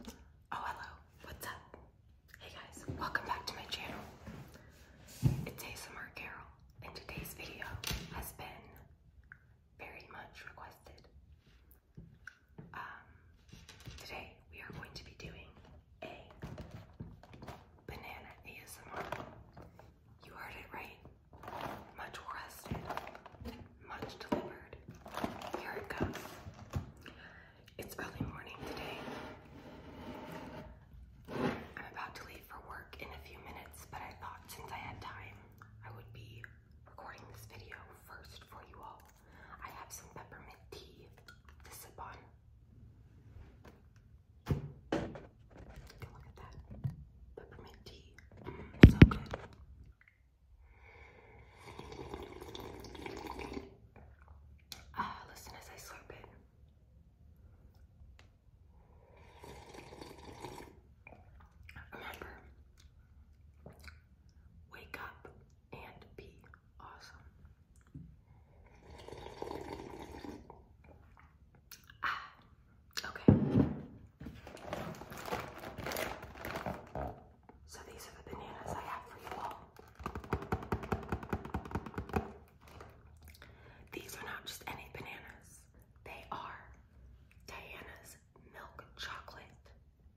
Oh, hello. What's up? Hey guys, welcome back to my channel. It's ASMR Carol, and today's video has been very much requested. Um, today we are going to be doing a banana ASMR. You heard it right. Much requested. Much delivered. Here it comes. It's early morning today. I'm about to leave for work in a few minutes, but I thought since I had time, I would be recording this video first for you all. I have some peppermint tea to sip on. Look at that. Peppermint tea. Mm, so good. Ah, listen as I slurp it. Remember, wake up and be awesome. Ah, okay. So these are the bananas I have for you all. These are not just any bananas. They are Diana's milk chocolate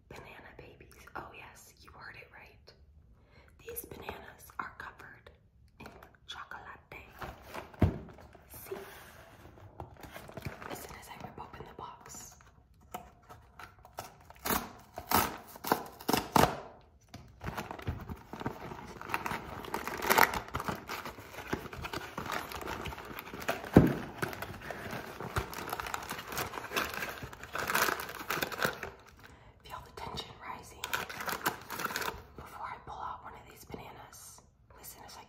banana babies. Oh yes, you heard it right. These bananas are covered in chocolate. See? As soon as I rip open the box, Feel the tension rising before I pull out one of these bananas. Listen as I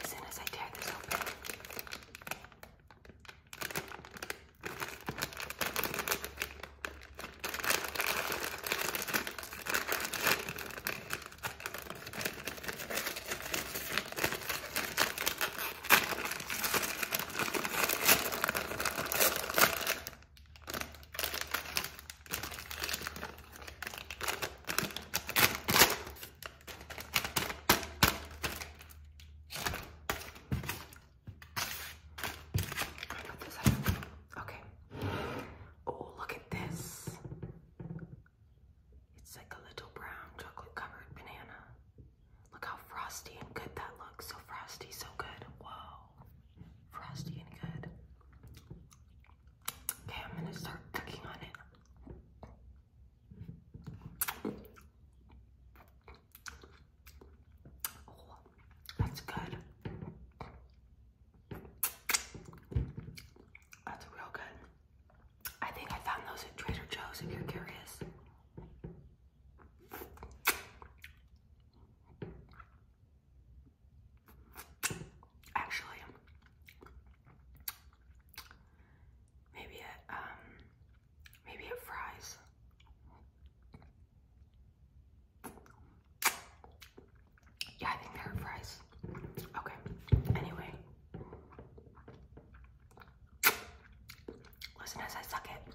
Listen as I tear this open. Okay. Oh, look at this. It's like a little brown chocolate covered banana. Look how frosty and good that looks. So frosty, so good. Whoa. Frosty and good. Okay, I'm gonna start cooking on it. Oh, that's good. That's real good. I think I found those at Trader Joe's if you're curious. Actually, maybe it um maybe it fries. Yeah, I think they're fries. Okay. Anyway. Listen as I suck it.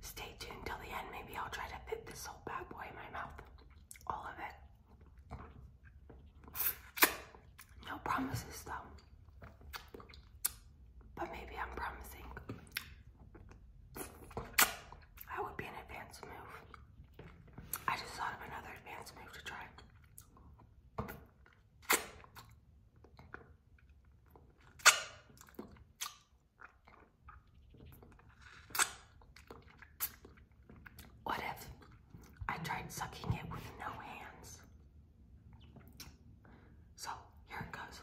Stay tuned till the end. Maybe I'll try to fit this whole bad boy in my mouth. All of it. No promises though. But maybe I'm promising. That would be an advanced move. I just thought of another advanced move to try. What I tried sucking it with no hands? So here it goes.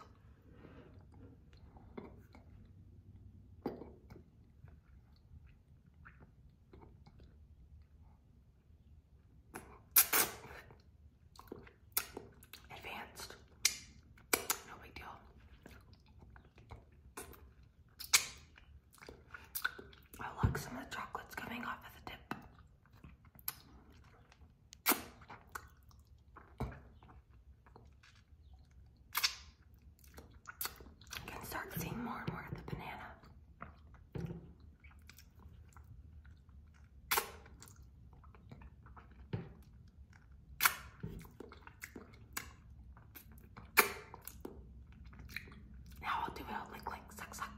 Advanced. No big deal. I like some of the chocolates coming off of the tip. I can start seeing more and more of the banana. Now I'll do it all like, like, suck, suck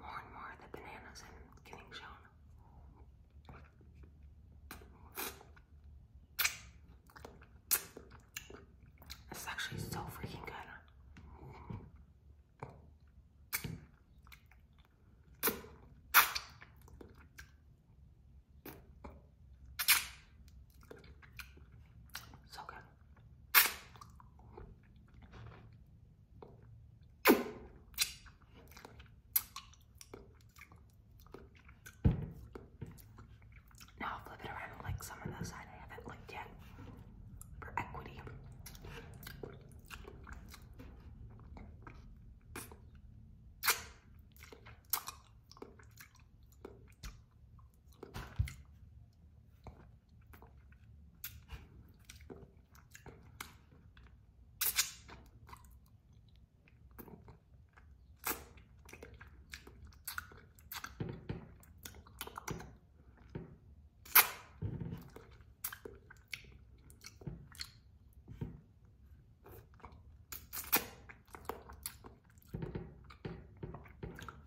more and more the bananas I'm getting shown. This is actually so freaking good. So good. Now I'll flip it around and lick some of the side I haven't looked yet for equity.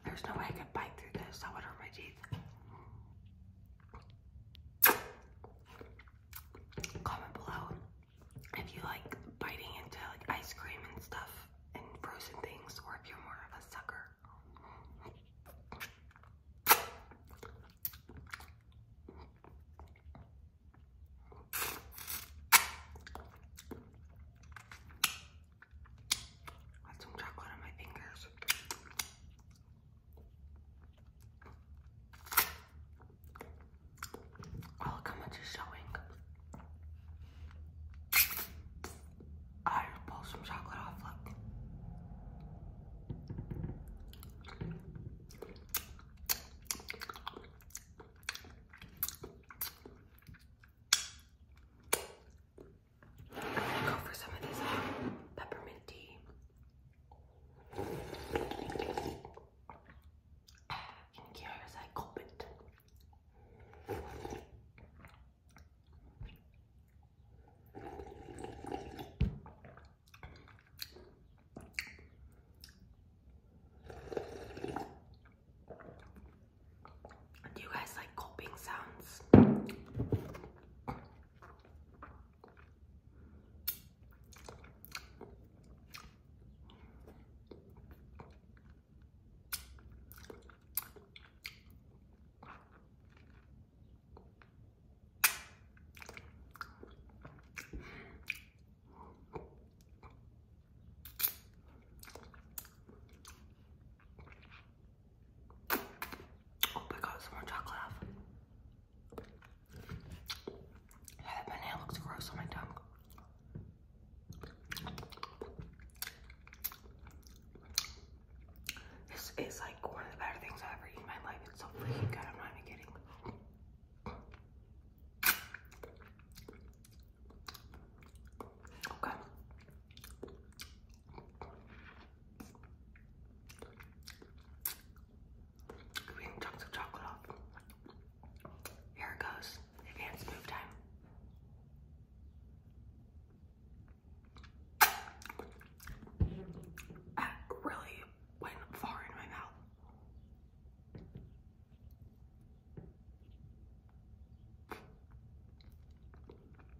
There's no way I could bite through this. I would hurt my teeth. Comment below if you like biting into like ice cream and stuff and frozen things or if you're more of a sucker. Got some chocolate on my fingers. Oh, look how much showing. I just pulled some chocolate off, look. I'm gonna Go for some of this um, peppermint tea. You can I gulp it. Do you guys like gulping sounds? Oh my god, some more chocolate Yeah, that banana looks gross on my tongue. This is like one of the better things I've ever eaten in my life. It's so freaking good, I'm not even kidding. Okay. Green chunks of chocolate Here it goes. Advanced move time. That really went far in my mouth.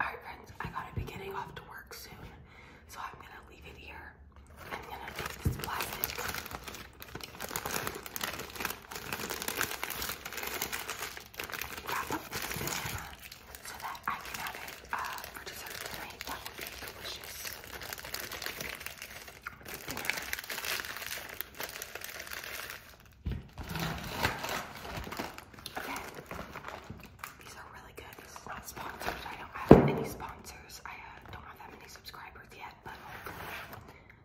Alright friends, I gotta be getting off to work soon. So I'm gonna leave it here. I'm gonna take this plastic. Uh, these are really good. This is not sponsored. I don't have any sponsors. I uh, don't have that many subscribers yet, but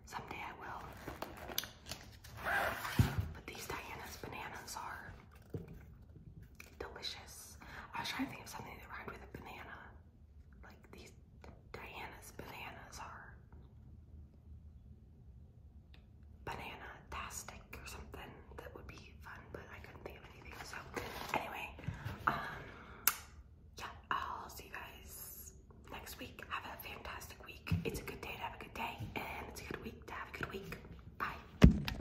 someday I will. But these Diana's bananas are delicious. I was trying to think of something that rhymed with a banana. Like these Diana's bananas are banana tastic or something that would be fun, but I couldn't think of anything. So anyway, um yeah, I'll see you guys next week. Have a fantastic week. It's a good day to have a good day, and it's a good week to have a good week. Bye.